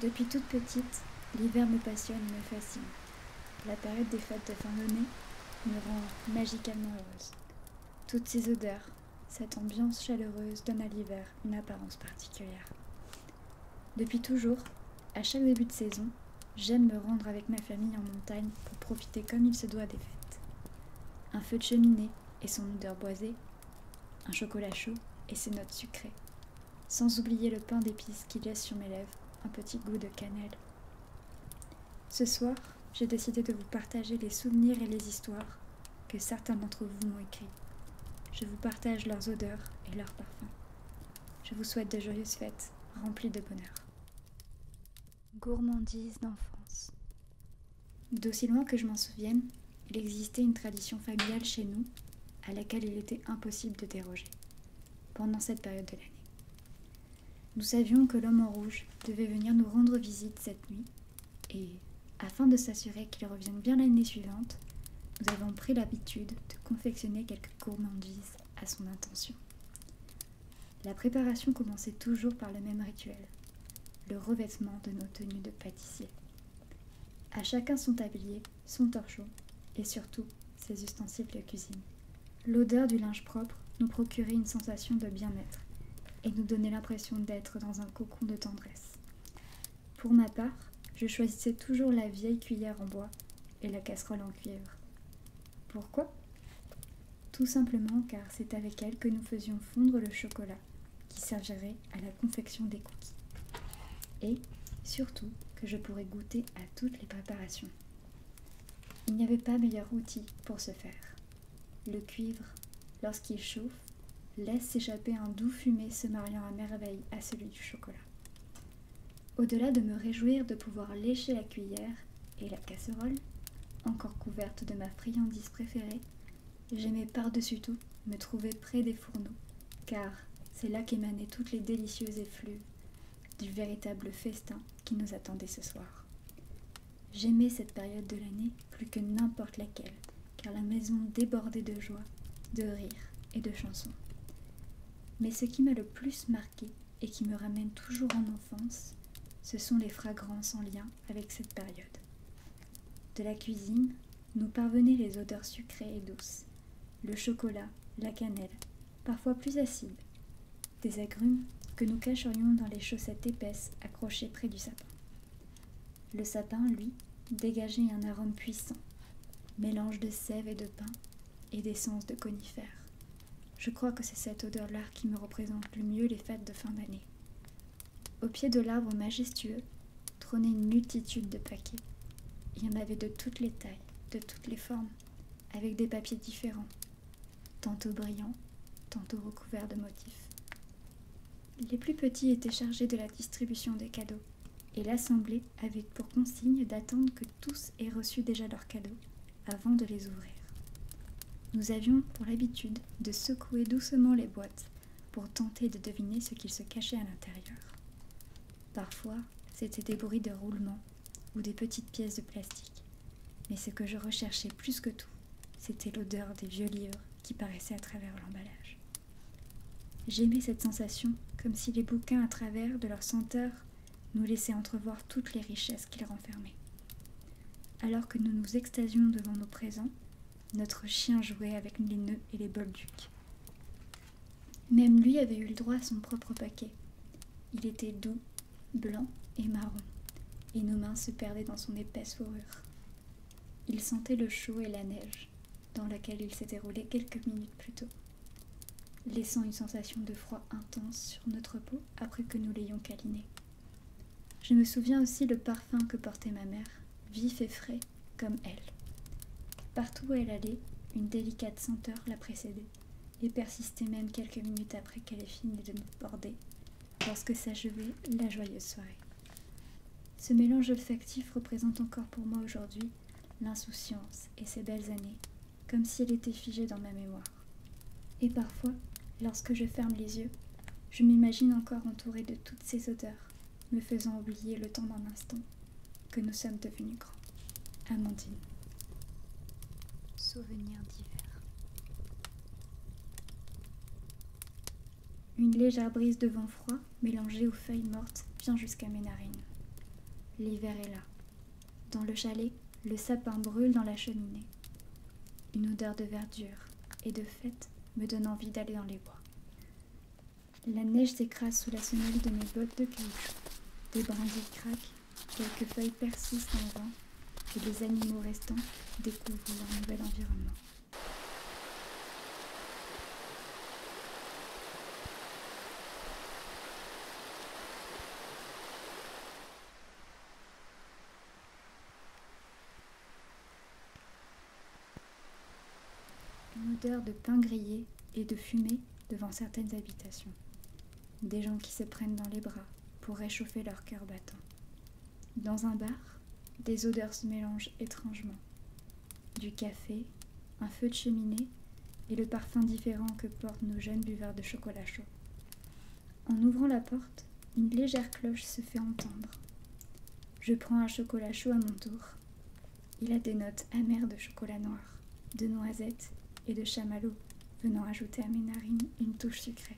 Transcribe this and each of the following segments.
Depuis toute petite, l'hiver me passionne et me fascine. La période des fêtes de fin d'année me rend magicalement heureuse. Toutes ces odeurs, cette ambiance chaleureuse donne à l'hiver une apparence particulière. Depuis toujours, à chaque début de saison, j'aime me rendre avec ma famille en montagne pour profiter comme il se doit des fêtes. Un feu de cheminée et son odeur boisée, un chocolat chaud et ses notes sucrées, sans oublier le pain d'épices qui laisse sur mes lèvres un petit goût de cannelle. Ce soir, j'ai décidé de vous partager les souvenirs et les histoires que certains d'entre vous m'ont écrit. Je vous partage leurs odeurs et leurs parfums. Je vous souhaite de joyeuses fêtes remplies de bonheur. Gourmandise d'enfance. D'aussi loin que je m'en souvienne, il existait une tradition familiale chez nous à laquelle il était impossible de déroger pendant cette période de l'année. Nous savions que l'homme en rouge devait venir nous rendre visite cette nuit et, afin de s'assurer qu'il revienne bien l'année suivante, nous avons pris l'habitude de confectionner quelques gourmandises à son intention. La préparation commençait toujours par le même rituel, le revêtement de nos tenues de pâtissier. À chacun son tablier, son torchon et surtout ses ustensiles de cuisine. L'odeur du linge propre nous procurait une sensation de bien-être et nous donnait l'impression d'être dans un cocon de tendresse. Pour ma part, je choisissais toujours la vieille cuillère en bois et la casserole en cuivre. Pourquoi Tout simplement car c'est avec elle que nous faisions fondre le chocolat qui servirait à la confection des cookies. Et surtout que je pourrais goûter à toutes les préparations. Il n'y avait pas meilleur outil pour ce faire. Le cuivre, lorsqu'il chauffe, laisse s'échapper un doux fumet se mariant à merveille à celui du chocolat. Au-delà de me réjouir de pouvoir lécher la cuillère et la casserole, encore couverte de ma friandise préférée, j'aimais par-dessus tout me trouver près des fourneaux, car c'est là qu'émanaient toutes les délicieuses effluves du véritable festin qui nous attendait ce soir. J'aimais cette période de l'année plus que n'importe laquelle, car la maison débordait de joie, de rires et de chansons. Mais ce qui m'a le plus marqué et qui me ramène toujours en enfance, ce sont les fragrances en lien avec cette période. De la cuisine, nous parvenaient les odeurs sucrées et douces, le chocolat, la cannelle, parfois plus acide, des agrumes que nous cacherions dans les chaussettes épaisses accrochées près du sapin. Le sapin, lui, dégageait un arôme puissant, mélange de sève et de pain et d'essence de conifères. Je crois que c'est cette odeur-là qui me représente le mieux les fêtes de fin d'année. Au pied de l'arbre majestueux trônait une multitude de paquets. Il y en avait de toutes les tailles, de toutes les formes, avec des papiers différents, tantôt brillants, tantôt recouverts de motifs. Les plus petits étaient chargés de la distribution des cadeaux, et l'assemblée avait pour consigne d'attendre que tous aient reçu déjà leurs cadeaux avant de les ouvrir. Nous avions pour l'habitude de secouer doucement les boîtes pour tenter de deviner ce qu'il se cachait à l'intérieur. Parfois, c'était des bruits de roulement, ou des petites pièces de plastique. Mais ce que je recherchais plus que tout, c'était l'odeur des vieux livres qui paraissaient à travers l'emballage. J'aimais cette sensation, comme si les bouquins à travers de leur senteur nous laissaient entrevoir toutes les richesses qu'ils renfermaient. Alors que nous nous extasions devant nos présents, notre chien jouait avec les nœuds et les bolducs. Même lui avait eu le droit à son propre paquet. Il était doux blanc et marron, et nos mains se perdaient dans son épaisse fourrure. Il sentait le chaud et la neige, dans laquelle il s'était roulé quelques minutes plus tôt, laissant une sensation de froid intense sur notre peau après que nous l'ayons câliné. Je me souviens aussi le parfum que portait ma mère, vif et frais, comme elle. Partout où elle allait, une délicate senteur la précédait et persistait même quelques minutes après qu'elle ait fini de me border, lorsque s'achevait la joyeuse soirée. Ce mélange olfactif représente encore pour moi aujourd'hui l'insouciance et ses belles années, comme si elle était figée dans ma mémoire. Et parfois, lorsque je ferme les yeux, je m'imagine encore entourée de toutes ces odeurs, me faisant oublier le temps d'un instant, que nous sommes devenus grands. Amandine. Souvenir d'hiver. Une légère brise de vent froid mélangée aux feuilles mortes vient jusqu'à mes narines. L'hiver est là. Dans le chalet, le sapin brûle dans la cheminée. Une odeur de verdure et de fête me donne envie d'aller dans les bois. La neige s'écrase sous la semelle de mes bottes de caoutchouc. Des brindilles craquent Quelques feuilles persistent en vain et les animaux restants découvrent leur nouvel environnement. L'odeur odeur de pain grillé et de fumée devant certaines habitations. Des gens qui se prennent dans les bras pour réchauffer leur cœur battant. Dans un bar, des odeurs se mélangent étrangement. Du café, un feu de cheminée et le parfum différent que portent nos jeunes buveurs de chocolat chaud. En ouvrant la porte, une légère cloche se fait entendre. Je prends un chocolat chaud à mon tour. Il a des notes amères de chocolat noir, de noisettes et de chamallow, venant ajouter à mes narines une touche sucrée.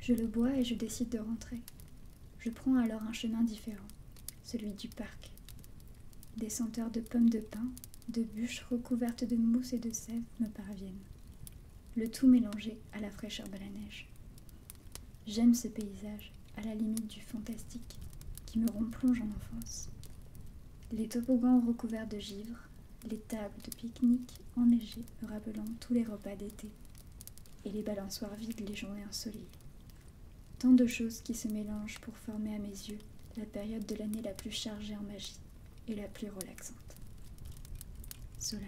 Je le bois et je décide de rentrer. Je prends alors un chemin différent, celui du parc. Des senteurs de pommes de pin, de bûches recouvertes de mousse et de sève me parviennent, le tout mélangé à la fraîcheur de la neige. J'aime ce paysage, à la limite du fantastique, qui me plonge en enfance. Les toboggans recouverts de givre, les tables de pique-nique enneigées me rappelant tous les repas d'été, et les balançoires vides les journées ensoleillées. Tant de choses qui se mélangent pour former à mes yeux la période de l'année la plus chargée en magie et la plus relaxante. Solal.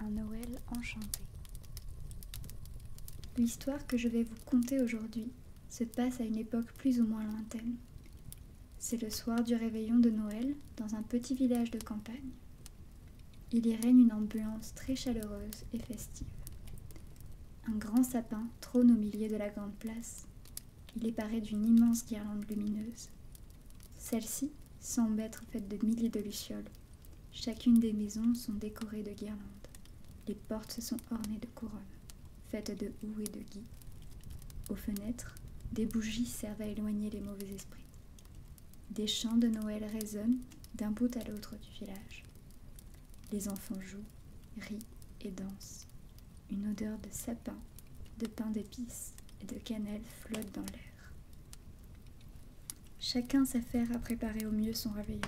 Un Noël enchanté. L'histoire que je vais vous conter aujourd'hui se passe à une époque plus ou moins lointaine. C'est le soir du réveillon de Noël dans un petit village de campagne. Il y règne une ambiance très chaleureuse et festive. Un grand sapin trône au milieu de la grande place. Il est paré d'une immense guirlande lumineuse, celles-ci semblent être faites de milliers de lucioles. Chacune des maisons sont décorées de guirlandes. Les portes se sont ornées de couronnes, faites de houx et de gui. Aux fenêtres, des bougies servent à éloigner les mauvais esprits. Des chants de Noël résonnent d'un bout à l'autre du village. Les enfants jouent, rient et dansent. Une odeur de sapin, de pain d'épices et de cannelle flotte dans l'air. Chacun s'affaire à préparer au mieux son réveil.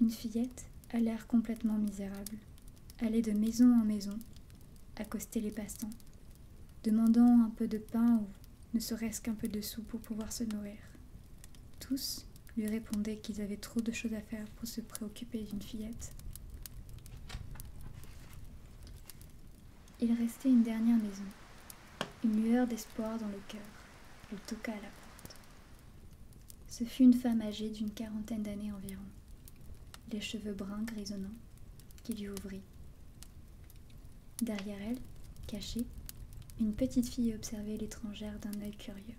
Une fillette a l'air complètement misérable, allait de maison en maison, accoster les passants, demandant un peu de pain ou ne serait-ce qu'un peu de sou pour pouvoir se nourrir. Tous lui répondaient qu'ils avaient trop de choses à faire pour se préoccuper d'une fillette. Il restait une dernière maison, une lueur d'espoir dans le cœur. le toqua à la porte. Ce fut une femme âgée d'une quarantaine d'années environ, les cheveux bruns grisonnants, qui lui ouvrit. Derrière elle, cachée, une petite fille observait l'étrangère d'un œil curieux.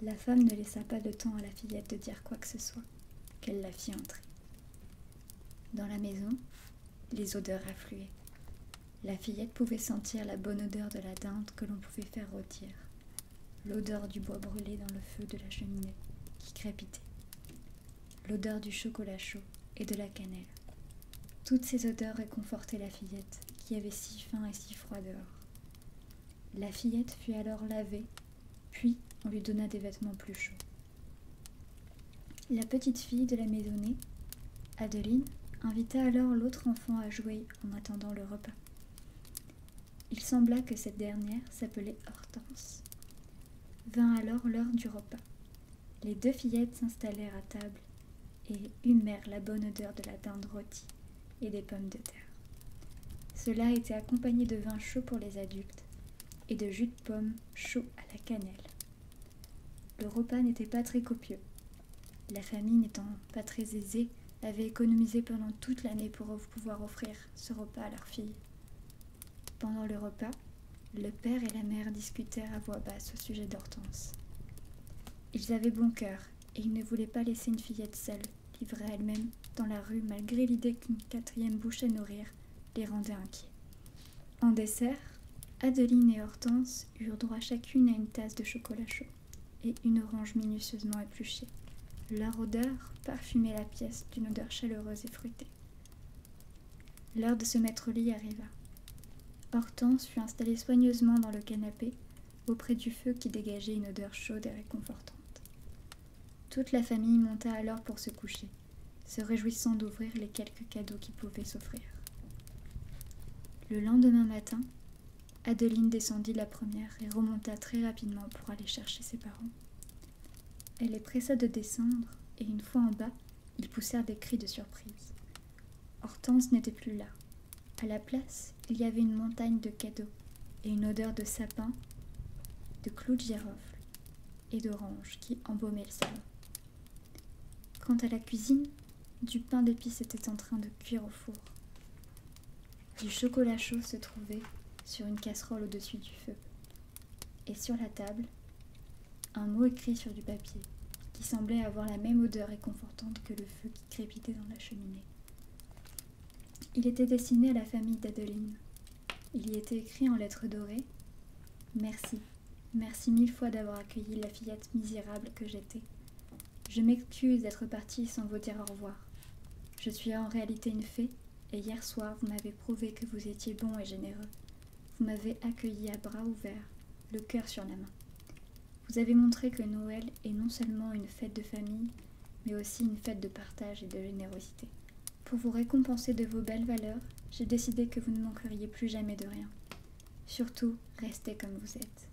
La femme ne laissa pas de temps à la fillette de dire quoi que ce soit qu'elle la fit entrer. Dans la maison, les odeurs affluaient. La fillette pouvait sentir la bonne odeur de la dinde que l'on pouvait faire rôtir, l'odeur du bois brûlé dans le feu de la cheminée qui crépitait, l'odeur du chocolat chaud et de la cannelle. Toutes ces odeurs réconfortaient la fillette qui avait si faim et si froid dehors. La fillette fut alors lavée, puis on lui donna des vêtements plus chauds. La petite fille de la maisonnée, Adeline, invita alors l'autre enfant à jouer en attendant le repas. Il sembla que cette dernière s'appelait Hortense. Vint alors l'heure du repas. Les deux fillettes s'installèrent à table et humèrent la bonne odeur de la dinde rôtie et des pommes de terre. Cela était accompagné de vin chaud pour les adultes et de jus de pommes chaud à la cannelle. Le repas n'était pas très copieux. La famille n'étant pas très aisée, avait économisé pendant toute l'année pour pouvoir offrir ce repas à leur fille. Pendant le repas, le père et la mère discutèrent à voix basse au sujet d'Hortense. Ils avaient bon cœur et ils ne voulaient pas laisser une fillette seule livrée elle-même dans la rue malgré l'idée qu'une quatrième bouche à nourrir les rendait inquiets. En dessert, Adeline et Hortense eurent droit chacune à une tasse de chocolat chaud et une orange minutieusement épluchée. Leur odeur parfumait la pièce d'une odeur chaleureuse et fruitée. L'heure de se mettre au lit arriva. Hortense fut installée soigneusement dans le canapé, auprès du feu qui dégageait une odeur chaude et réconfortante. Toute la famille monta alors pour se coucher, se réjouissant d'ouvrir les quelques cadeaux qui pouvaient s'offrir. Le lendemain matin, Adeline descendit la première et remonta très rapidement pour aller chercher ses parents. Elle les pressa de descendre, et une fois en bas, ils poussèrent des cris de surprise. Hortense n'était plus là, à la place, il y avait une montagne de cadeaux et une odeur de sapin, de clous de girofle et d'orange qui embaumait le salon. Quant à la cuisine, du pain d'épices était en train de cuire au four. Du chocolat chaud se trouvait sur une casserole au-dessus du feu. Et sur la table, un mot écrit sur du papier qui semblait avoir la même odeur réconfortante que le feu dans la cheminée. Il était destiné à la famille d'Adeline. Il y était écrit en lettres dorées Merci, merci mille fois d'avoir accueilli la fillette misérable que j'étais. Je m'excuse d'être partie sans vous dire au revoir. Je suis en réalité une fée, et hier soir vous m'avez prouvé que vous étiez bon et généreux. Vous m'avez accueilli à bras ouverts, le cœur sur la main. Vous avez montré que Noël est non seulement une fête de famille, mais aussi une fête de partage et de générosité. Pour vous récompenser de vos belles valeurs, j'ai décidé que vous ne manqueriez plus jamais de rien. Surtout, restez comme vous êtes.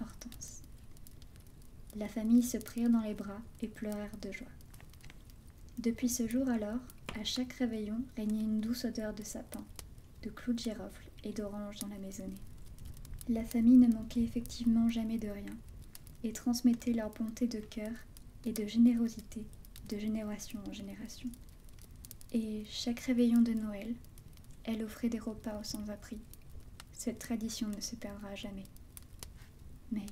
Hortense. La famille se prirent dans les bras et pleurèrent de joie. Depuis ce jour alors, à chaque réveillon régnait une douce odeur de sapin, de clous de girofle et d'orange dans la maisonnée. La famille ne manquait effectivement jamais de rien, et transmettait leur bonté de cœur et de générosité de génération en génération. Et chaque réveillon de Noël, elle offrait des repas aux sans-abri. Cette tradition ne se perdra jamais. Mais...